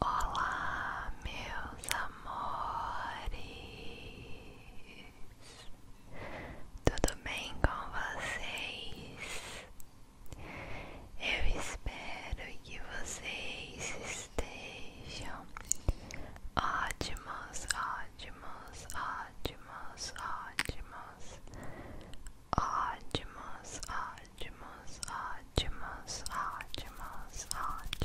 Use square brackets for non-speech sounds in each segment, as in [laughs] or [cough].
Olá, meus amores. Tudo bem com vocês? Eu espero que vocês estejam ótimos, ótimos, ótimos, ótimos, ótimos, ótimos, ótimos, ótimos, ótimos.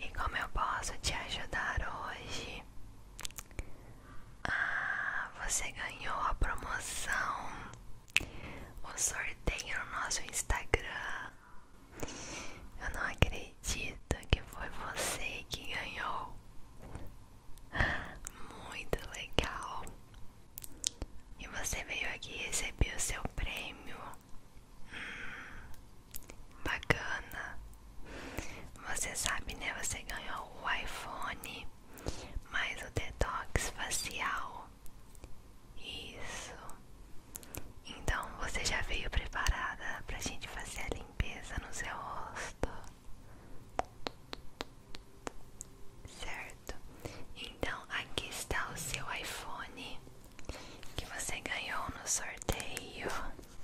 E como eu posso te ajudar hoje? Ah, você ganhou a promoção, o sorteio no nosso Instagram. Eu não acredito que foi você que ganhou. Muito legal. E você veio aqui e recebeu o seu prêmio. Hum, Bacana. Você sabe, né? Você ganhou o iPhone mais o detox facial. Isso. Então você já veio preparada para a gente fazer a limpeza no seu rosto. Certo? Então aqui está o seu iPhone que você ganhou no sorteio.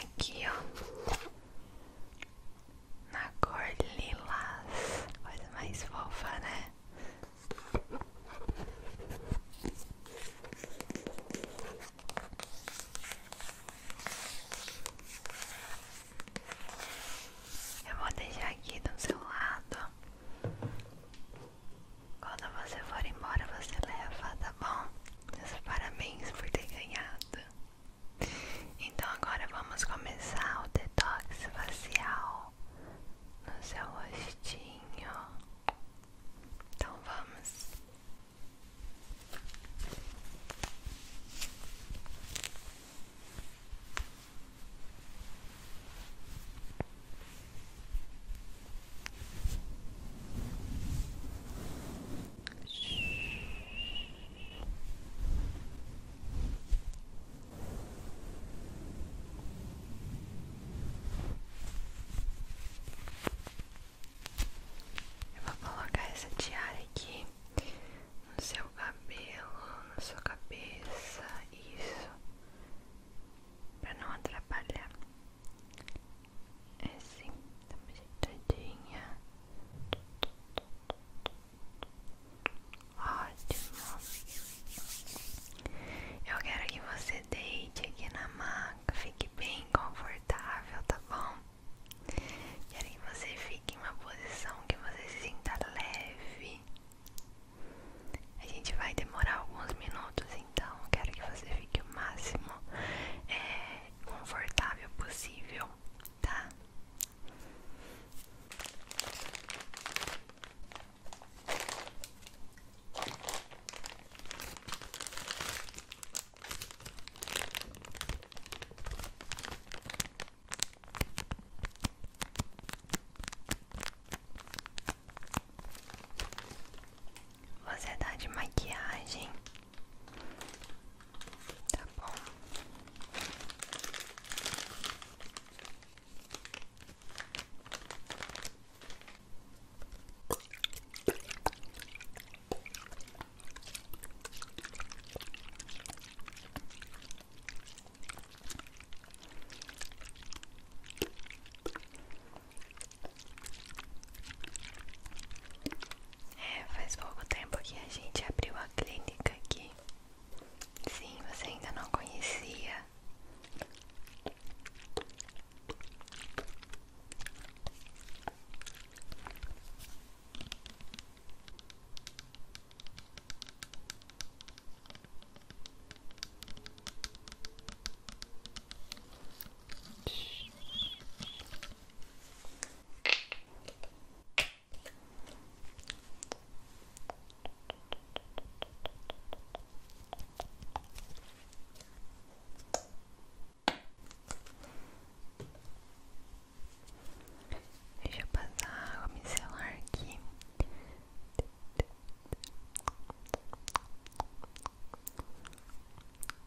Aqui, ó. Na cor lilás. Coisa mais fofa, né? Eu vou deixar aqui do seu lado. Quando você for embora, você leva, tá bom? parabéns por ter ganhado. Então agora vamos começar o detox facial no seu rostinho. Então vamos. Eu vou colocar essa tiara aqui no seu cabelo, na sua cabeça, isso, para não atrapalhar. É assim, tá uma ajeitadinha. Ótimo. Eu quero que você deite aqui na maca, fique bem confortável, tá bom? Quero que você fique em uma posição que você se sinta leve. A gente vai demorar alguns minutos, então quero que você fique o máximo é, confortável possível, tá? Você tá de maquiagem? Tá bom. É, faz pouco tempo que a gente abriu a clínica aqui. Sim, você ainda não conhecia. Deixa eu passar a água micelar aqui.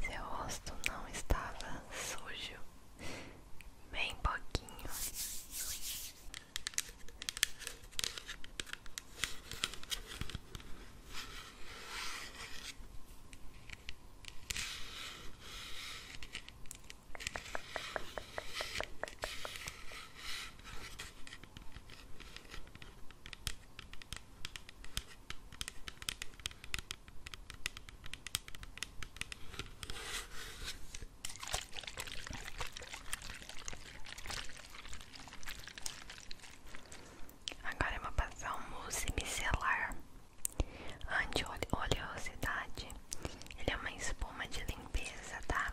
Seu rosto não estava sujo bem pouquinho. Agora eu vou passar um mousse micelar anti-oleosidade. Ele é uma espuma de limpeza, tá?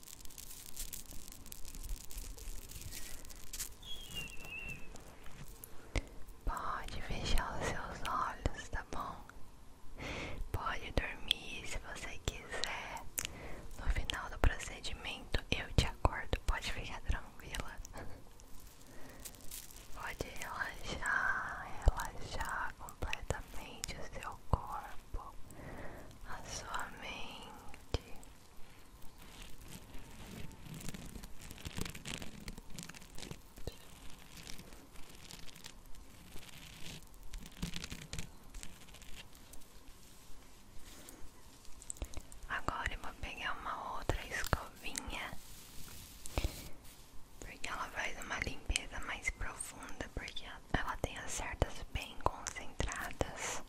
Pode fechar os seus olhos, tá bom? Pode dormir se você quiser. No final do procedimento eu te acordo, pode ficar tranquila. Pode relaxar, relaxar completamente o seu corpo, a sua mente. Agora eu vou pegar uma outra escovinha, porque ela faz uma limpeza mais profunda, porque ela tem as cerdas bem concentradas.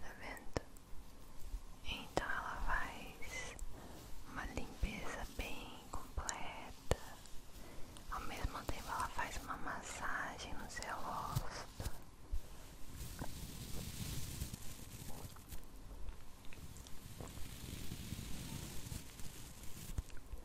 Tá vendo? Então ela faz uma limpeza bem completa. Ao mesmo tempo ela faz uma massagem no seu rosto.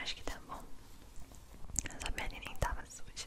Acho que tá bom. Essa pele nem tava suja.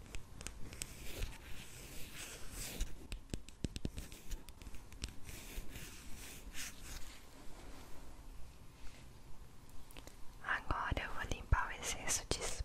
Agora eu vou limpar o excesso de espuma.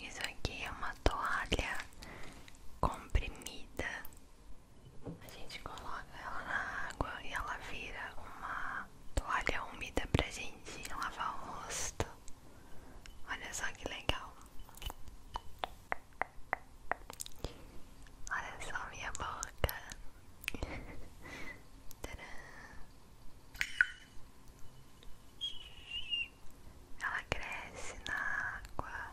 Isso aqui é uma toalha comprimida. A gente coloca ela na água e ela vira uma toalha úmida pra gente lavar o rosto. Olha só que legal. Olha só minha boca. [laughs] Ela cresce na água.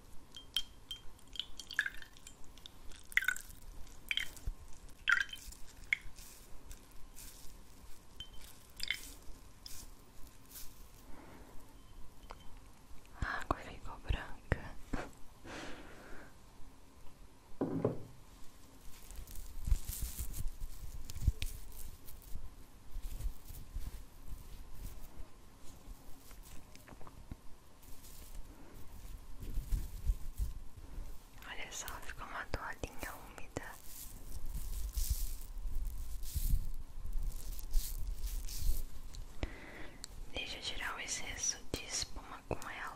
A água ficou branca. Olha só, ficou uma toalhinha úmida. Deixa eu tirar o excesso de espuma com ela.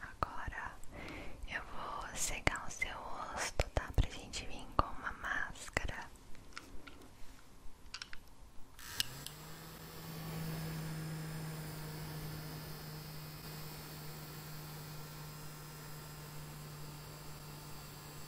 Agora eu vou secar o seu rosto, tá? Pra gente vir com uma máscara.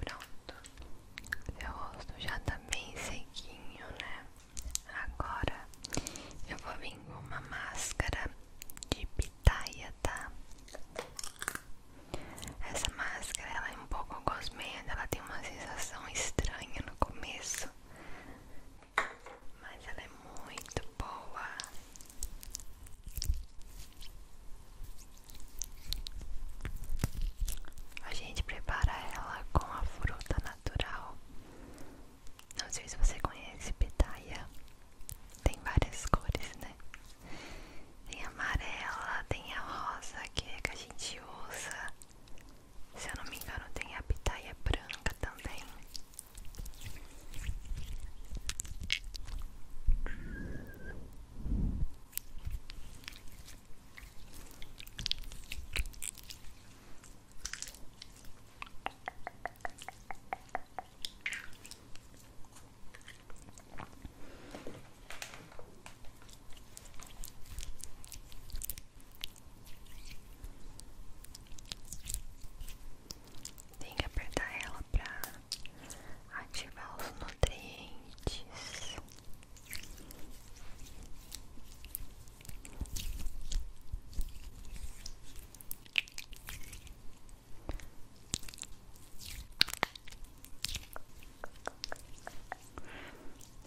Pronto, meu rosto já tá bem sequinho, né? Agora eu vou vir com uma máscara de pitaia, tá? Essa máscara ela é um pouco gosmenta, ela tem uma sensação estranha no começo, mas ela é muito boa. A gente prepara ela com a fruta natural. Não sei se você conhece pitaia. Tem várias cores, né? Tem a amarela, tem a rosa que é que a gente usa. Se eu não me engano, tem a pitaia branca também. Tem que apertar ela para ativar os nutrientes.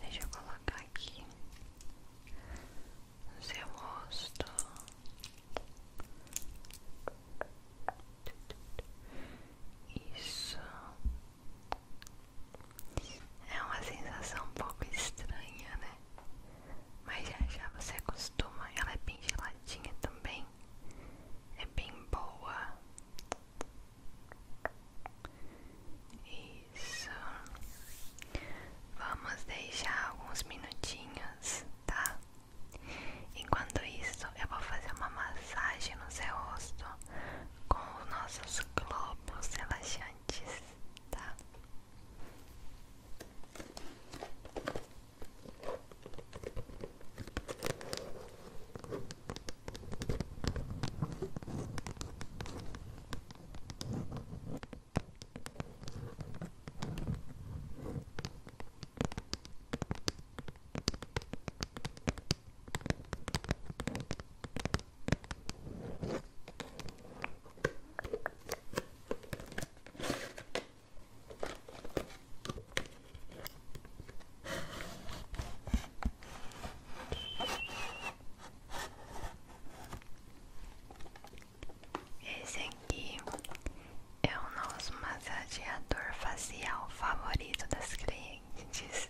Deixa eu colocar aqui no seu rosto. Isso é uma sensação um pouco estranha, né? Mas já já você acostuma, ela é bem geladinha também, é bem boa. Isso. Vamos deixar alguns minutinhos, tá? Enquanto isso, eu vou fazer uma massagem no seu rosto com os nossos globos relaxantes, tá? Esse aqui é o nosso massageador facial favorito das clientes.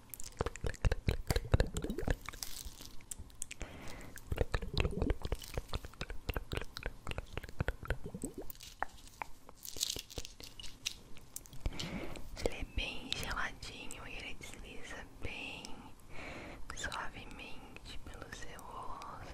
Ele é bem geladinho e ele desliza bem suavemente pelo seu rosto.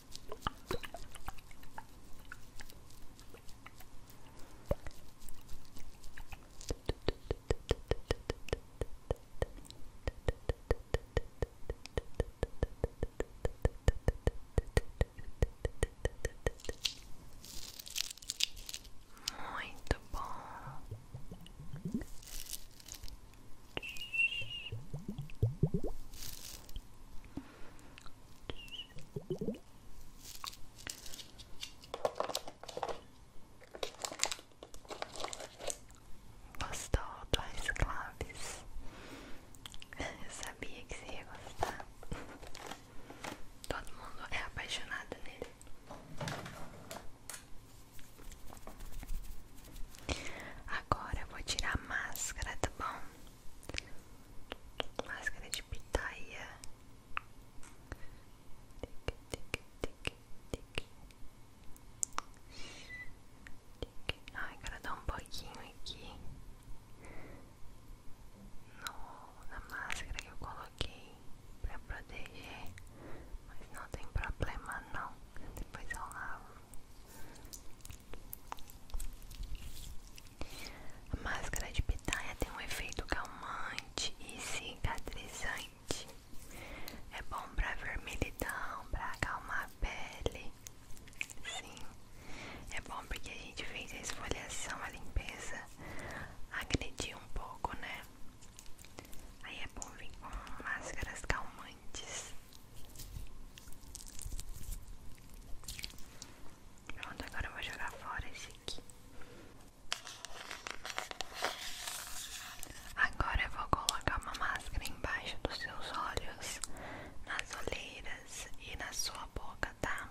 Muito bom. Gostou do claves Eu sabia que você ia gostar. Todo mundo é apaixonado nele. Agora eu vou tirar a máscara, tá bom? máscara de pitaia. Tic, tic, tic, tic. Ai, quero dar um pouquinho aqui no, na máscara que eu coloquei pra proteger, mas não tem problema não, depois eu lavo máscara de pitaia tem um efeito calmante e cicatrizante. É bom para vermelhidão, para calmar a pele. Sim, é bom porque a gente fez a esfoliação, a limpeza, agrediu um pouco, né? Aí é bom vir com máscaras calmantes. Pronto, agora eu vou jogar fora esse aqui. Agora eu vou colocar uma máscara embaixo dos seus olhos, nas olheiras e na sua boca, tá?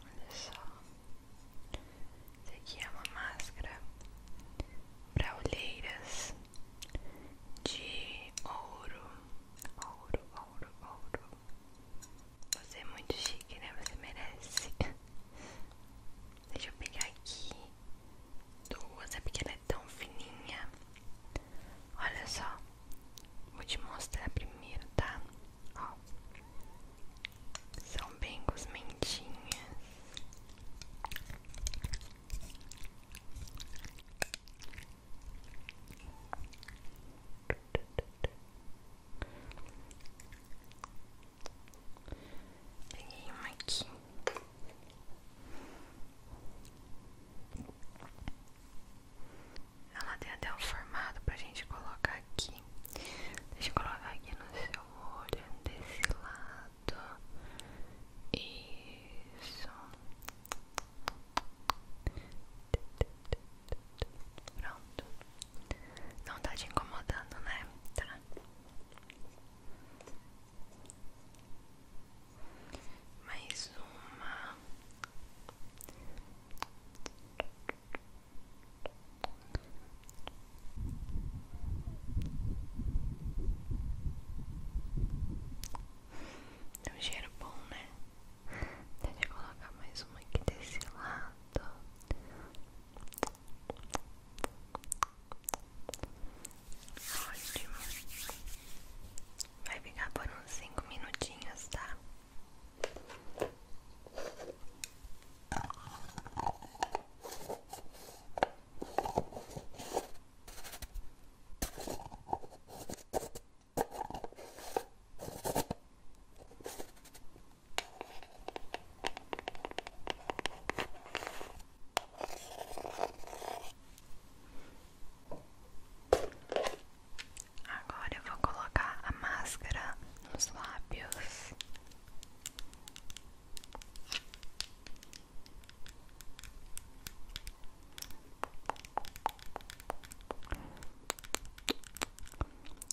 Olha só, isso aqui é uma máscara para olheiras de ouro, ouro, ouro, ouro. Você é muito chique, né? Você merece. [laughs] Deixa eu pegar aqui duas, é porque ela é tão fininha. Olha só, vou te mostrar primeiro, tá? Ó, são bem gosmentinhas. Peguei uma aqui. Ela tem até um formato pra gente colocar aqui. Deixa eu colocar aqui no seu olho, desse lado. Isso. Pronto. Não tá te incomodando, né? Tá. Mais uma. É um cheiro bom, né? Deixa eu colocar mais uma aqui desse lado. Ótimo. Vai ficar por uns cinco minutinhos, tá? Agora eu vou colocar a máscara nos lábios.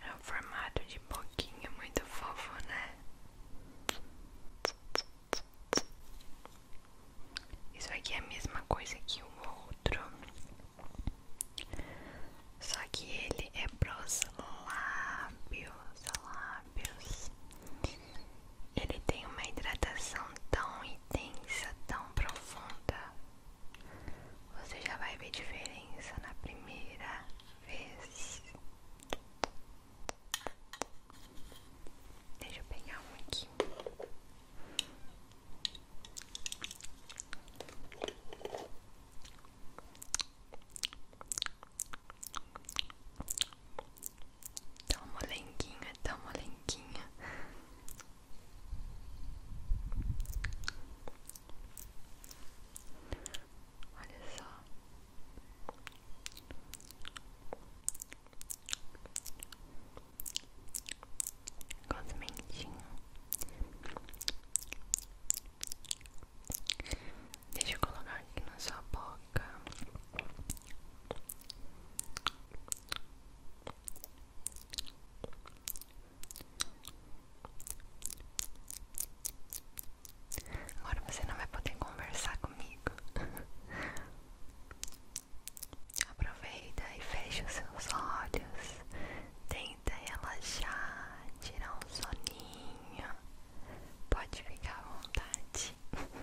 É um formato de boquinha muito fofo, né? Isso aqui é a mesma coisa que o outro, só que ele é pros lábios, lábios. Ele tem uma hidratação tão intensa, tão profunda. Você já vai ver diferença na primeira vez. Deixa eu pegar um aqui. Tão tá molenguinha, tão tá molenguinha. Olha só. Cosmentinho. Deixa eu colocar aqui na sua boca. Agora você não vai poder conversar comigo. [laughs] Aproveita e feche os seus olhos. Tenta relaxar, tirar um soninho. Pode ficar à vontade. [laughs]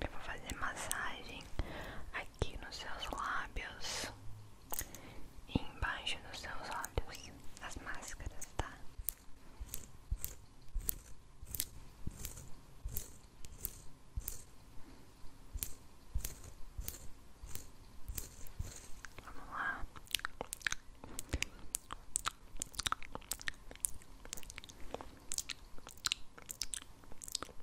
Eu vou fazer massagem aqui nos seus lábios e embaixo dos seus olhos, as máscaras, tá? Vamos lá.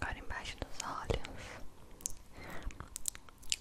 Agora embaixo dos olhos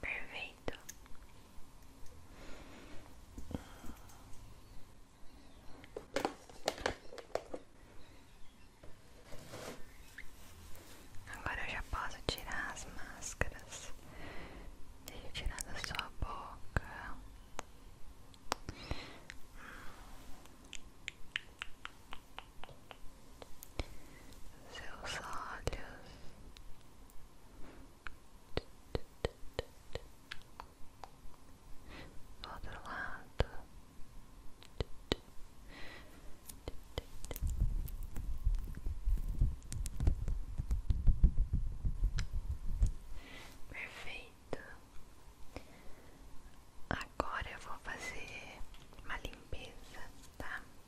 Perfeito. Agora eu já posso tirar as máscaras. Deixa eu tirar da sua boca seus olhos, do outro lado, perfeito. Agora eu vou fazer uma limpeza, tá?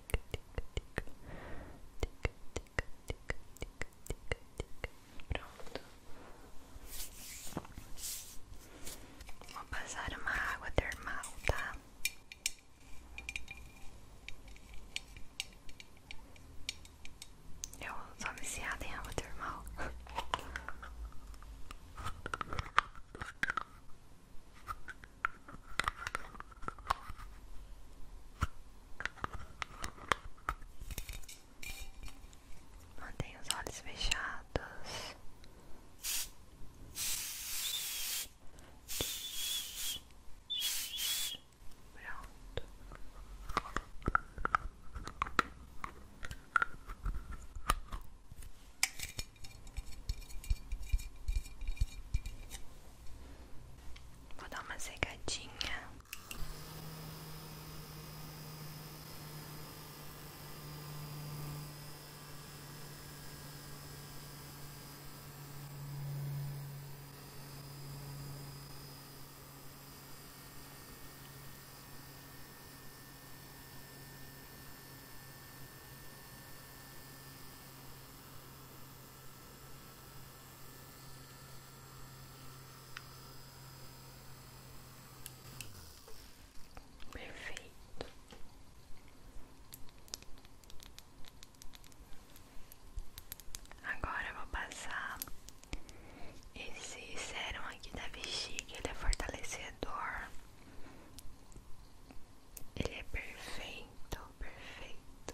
tica, tica, tica, tica, tica, tica, tica, tica, tica. Pronto. Vou passar uma água termal, tá? Eu só me viciada em água termal. [laughs] Mantenha os olhos fechados. Pronto. Vou dar uma secadinha. Perfeito. Agora vou passar esse sérum aqui da bexiga, ele é fortalecedor. Ele é perfeito então Perfeito,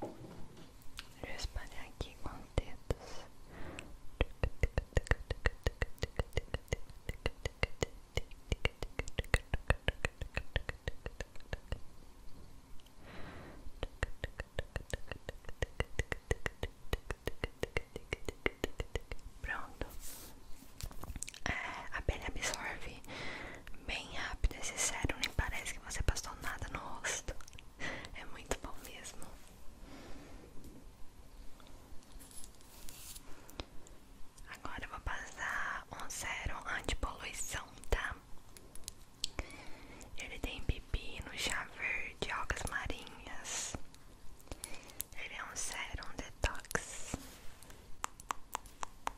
Vou espalhar aqui com os dedos. Pronto, é, a pele absorve bem rápido esse sérum, nem parece que você passou nada no rosto. [laughs] É muito bom mesmo. Agora eu vou passar um sérum anti-poluição, tá? Ele tem no chá verde, algas marinhas. Ele é um sérum detox.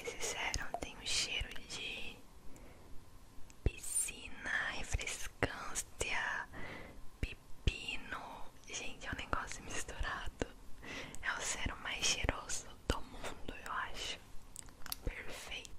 Esse sérum tem um cheiro de piscina, refrescância, pepino. Gente, é um negócio misturado. É o zero mais cheiroso do mundo, eu acho. Perfeito.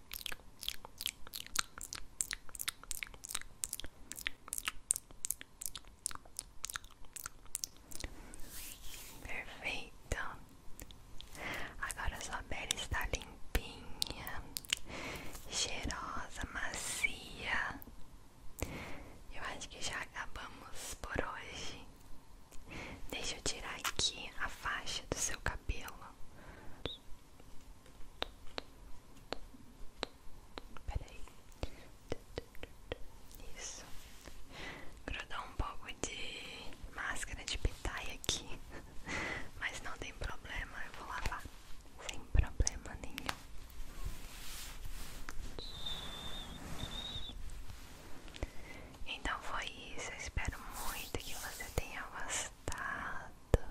Perfeito. Agora sua pele está limpinha, cheirosa, macia. Eu acho que já acabamos por hoje. Deixa eu tirar aqui a faixa do seu cabelo. Peraí. Isso. Grudou um pouco de máscara de pitaia aqui. Mas não tem problema, eu vou lavar. Sem problema nenhum. Então foi isso, eu espero muito que você tenha gostado.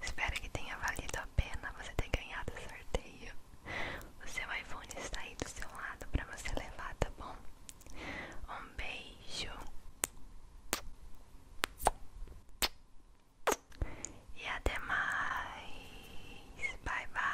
Espero que tenha valido a pena você ter ganhado o sorteio. O seu iPhone está aí do seu lado para você levar, tá bom? Um beijo e até mais. Bye bye.